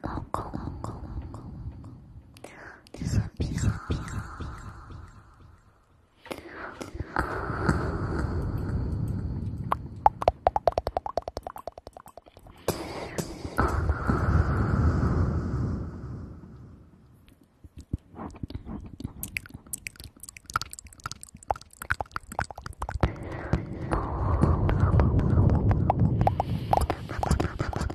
老公，老公，老公，老公，你是皮哈皮哈皮哈。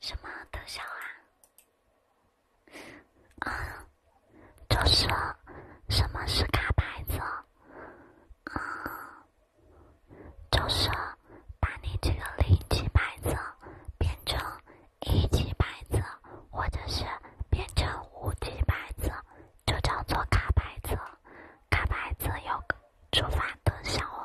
什么特效啊？就是什么是卡牌子？啊。就是把你这个零级牌子变成一级牌子，或者是变成五级牌子，就叫做卡牌子。卡牌子有个触发特效哦。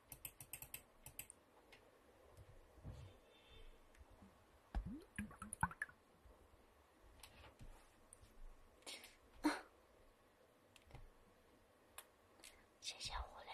谢谢无聊。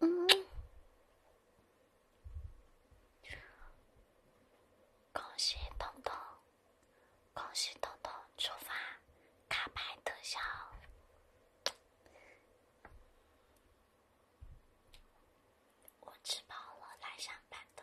嗯，恭喜彤彤，恭喜彤彤出发，卡牌特效。我吃饱了来上班的。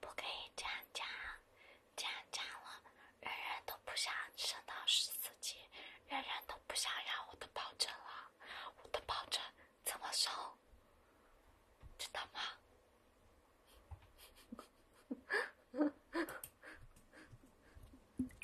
不可以这样讲，这样讲了，人人都不想升到十四级，人人都不想要我的保证了，我的保证怎么收？知道吗？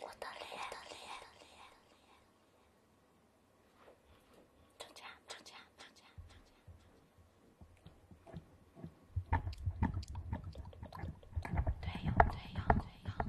我的脸，涨价，涨价，涨价，涨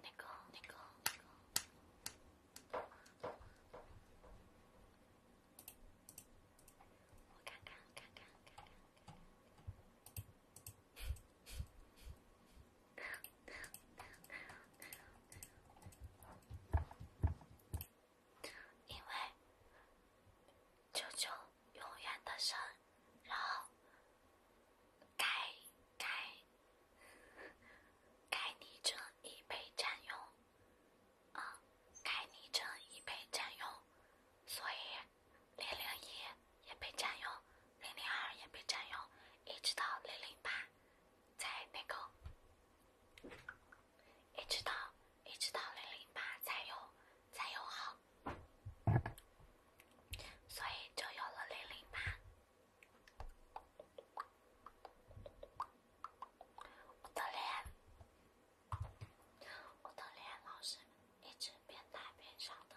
那个，那个，我看看，看看，看看，因为，救救永远的神。然后，该该该昵称已被占用，啊，该昵称已被占用，所以零零一也被占用，零零二也被占用，一直到零零八，在那个，一直到一直到零零八才有才有号。所以就有了零零八。我的脸，我的脸，老是一直变大变小的。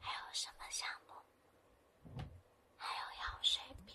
还有什么项目？还有药水瓶。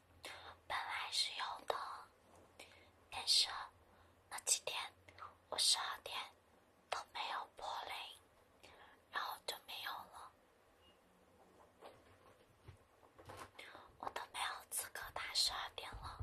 本来是有的，但是那几天我十二点都没有播铃，然后就没有了。我都没有资格打十二点了。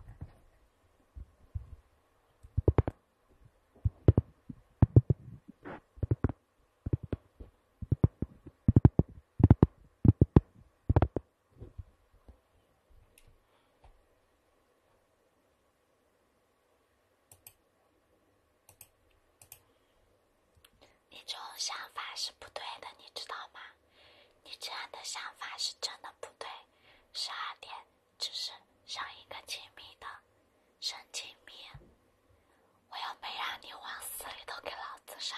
这种想法是不对的，你知道吗？你这样的想法是真的不对。十二点，只是上一个亲密的，神经病！我又没让你往死里头给老子上。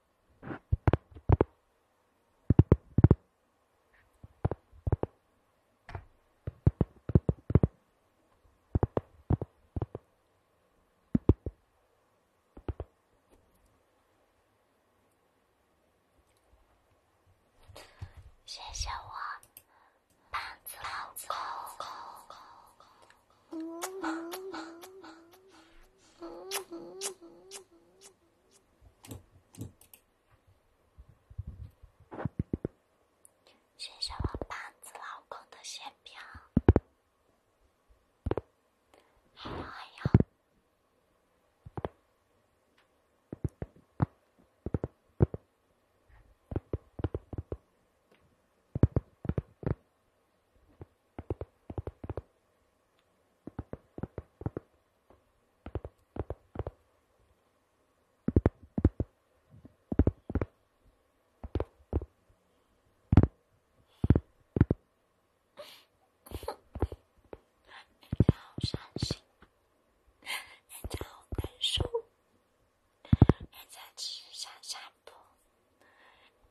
谢谢我胖子老公。谢谢我胖子老公的馅饼，哎呀哎呀！人家好伤心，人家好难受，人家只想想。多。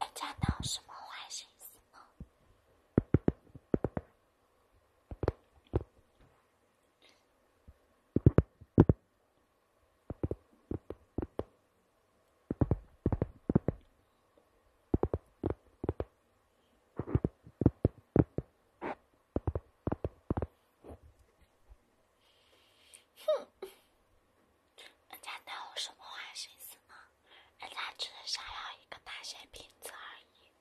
人家有什么坏心思吗？哼，人家有什么坏心思吗？人家只是想要一个大些瓶子而已。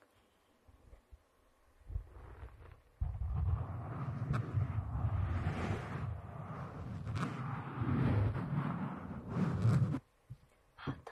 好的。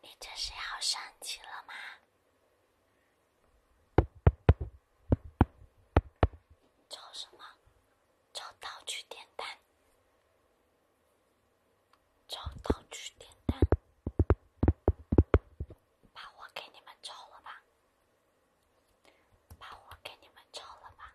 你这是要生气了吗？招什么？招道具点单。招道具点单，把我给你们招了吧。把我给你们招了吧。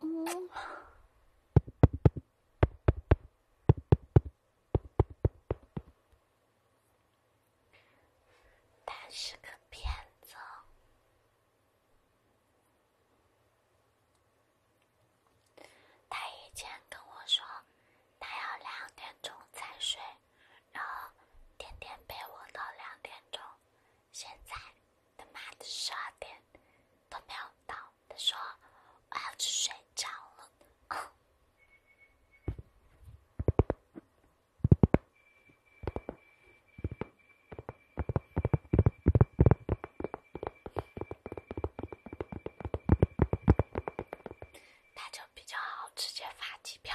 嗯，他是个骗子。他以前跟我说，他要两点钟才睡。然后天天陪我到两点钟，现在他妈的十二点都没有到，他说我要去睡着了，他就比较好，直接发机票。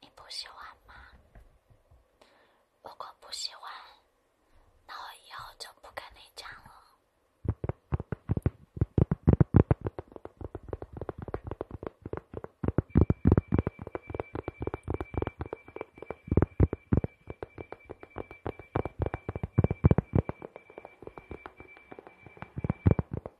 你不喜欢吗？如果不喜欢，那我以后就不跟你讲了。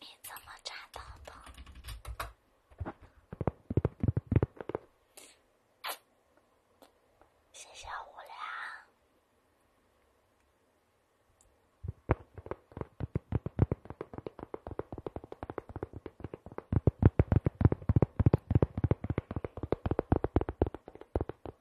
你怎么找到的？谢谢无良。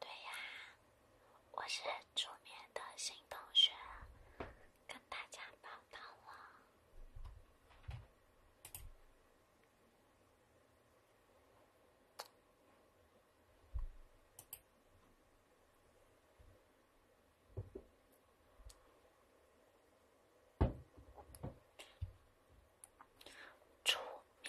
对呀，我是助眠的新同学，跟大家报道了。煮面。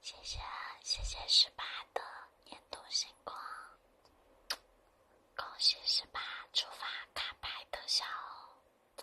谢谢谢谢十八的年度星光，恭喜十八触发卡牌特效哦！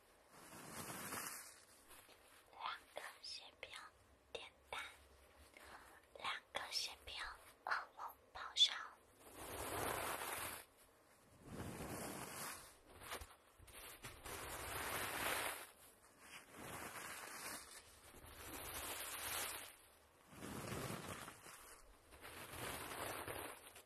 两个血标点单，两个血标恶龙咆哮。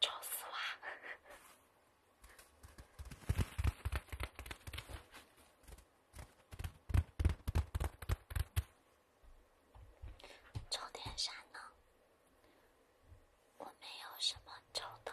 抽死我！抽点啥呢？我没有什么抽的。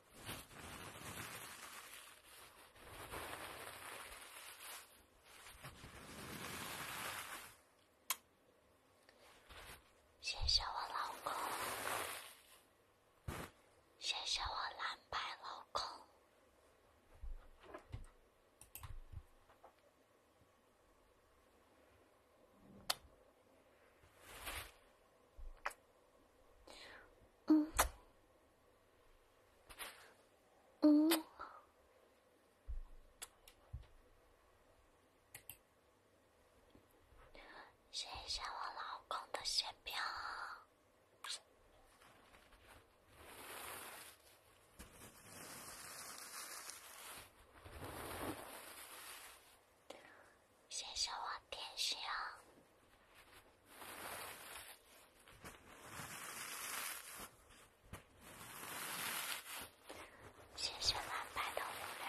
谢谢我老公，谢谢我蓝白老公。嗯嗯，谢谢我老公的血票。谢谢我天星，谢谢蓝白的流量。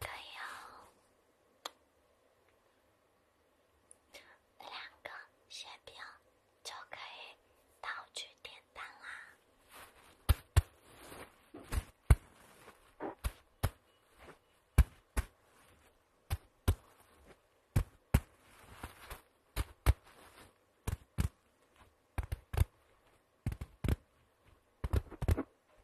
可以哦，那两个血瓶就可以道具点单啦。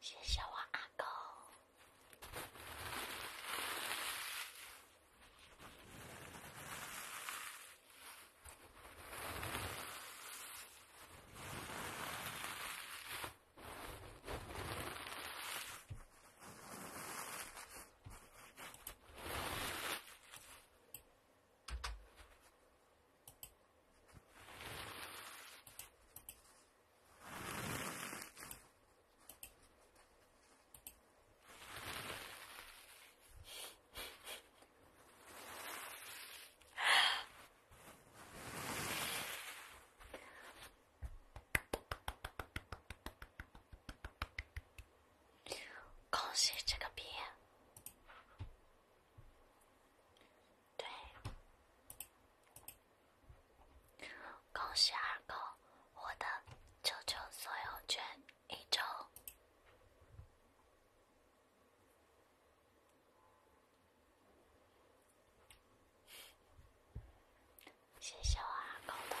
谢谢我阿狗。恭喜这个逼！对，恭喜二狗获得球球所有权一周，谢谢我二狗的礼物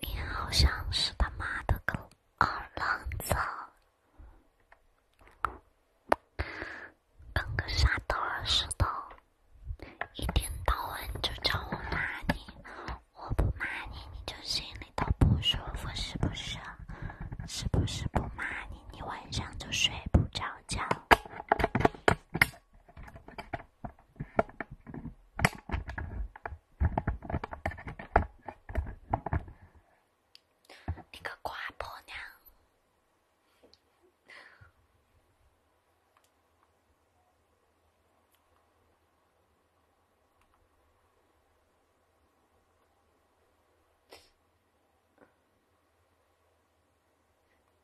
你好像是他妈的个二愣子，跟个傻子似的，一天到晚就叫我骂你，我不骂你你就心里都不舒服，是不是？是不是不骂你？你晚上就睡不着觉，你个寡婆娘。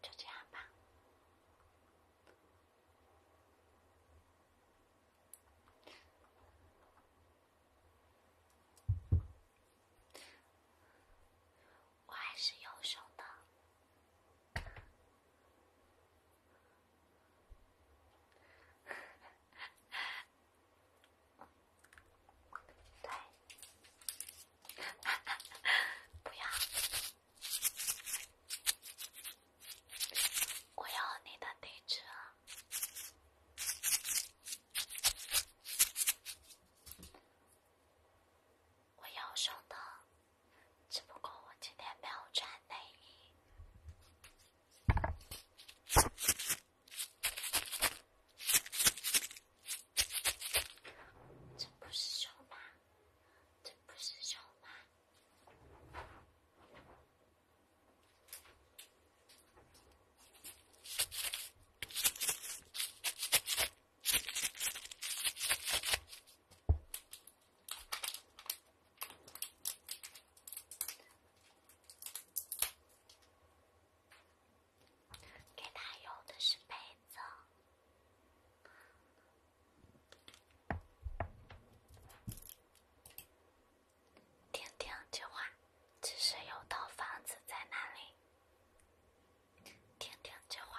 就这样吧，我还是优秀的。对，不要，我要你的地址。我要胸的，只不过我今天没有穿内衣。这不是熊吗？这不是熊吗？给他用的是被子。听听这话，只是有套房子在那里。听听这话。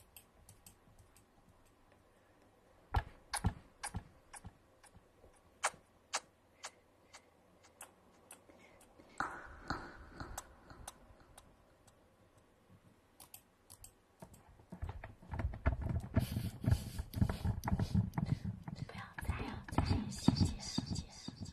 不要，不要，再见！谢谢，谢谢，谢谢，谢谢，谢谢，谢谢。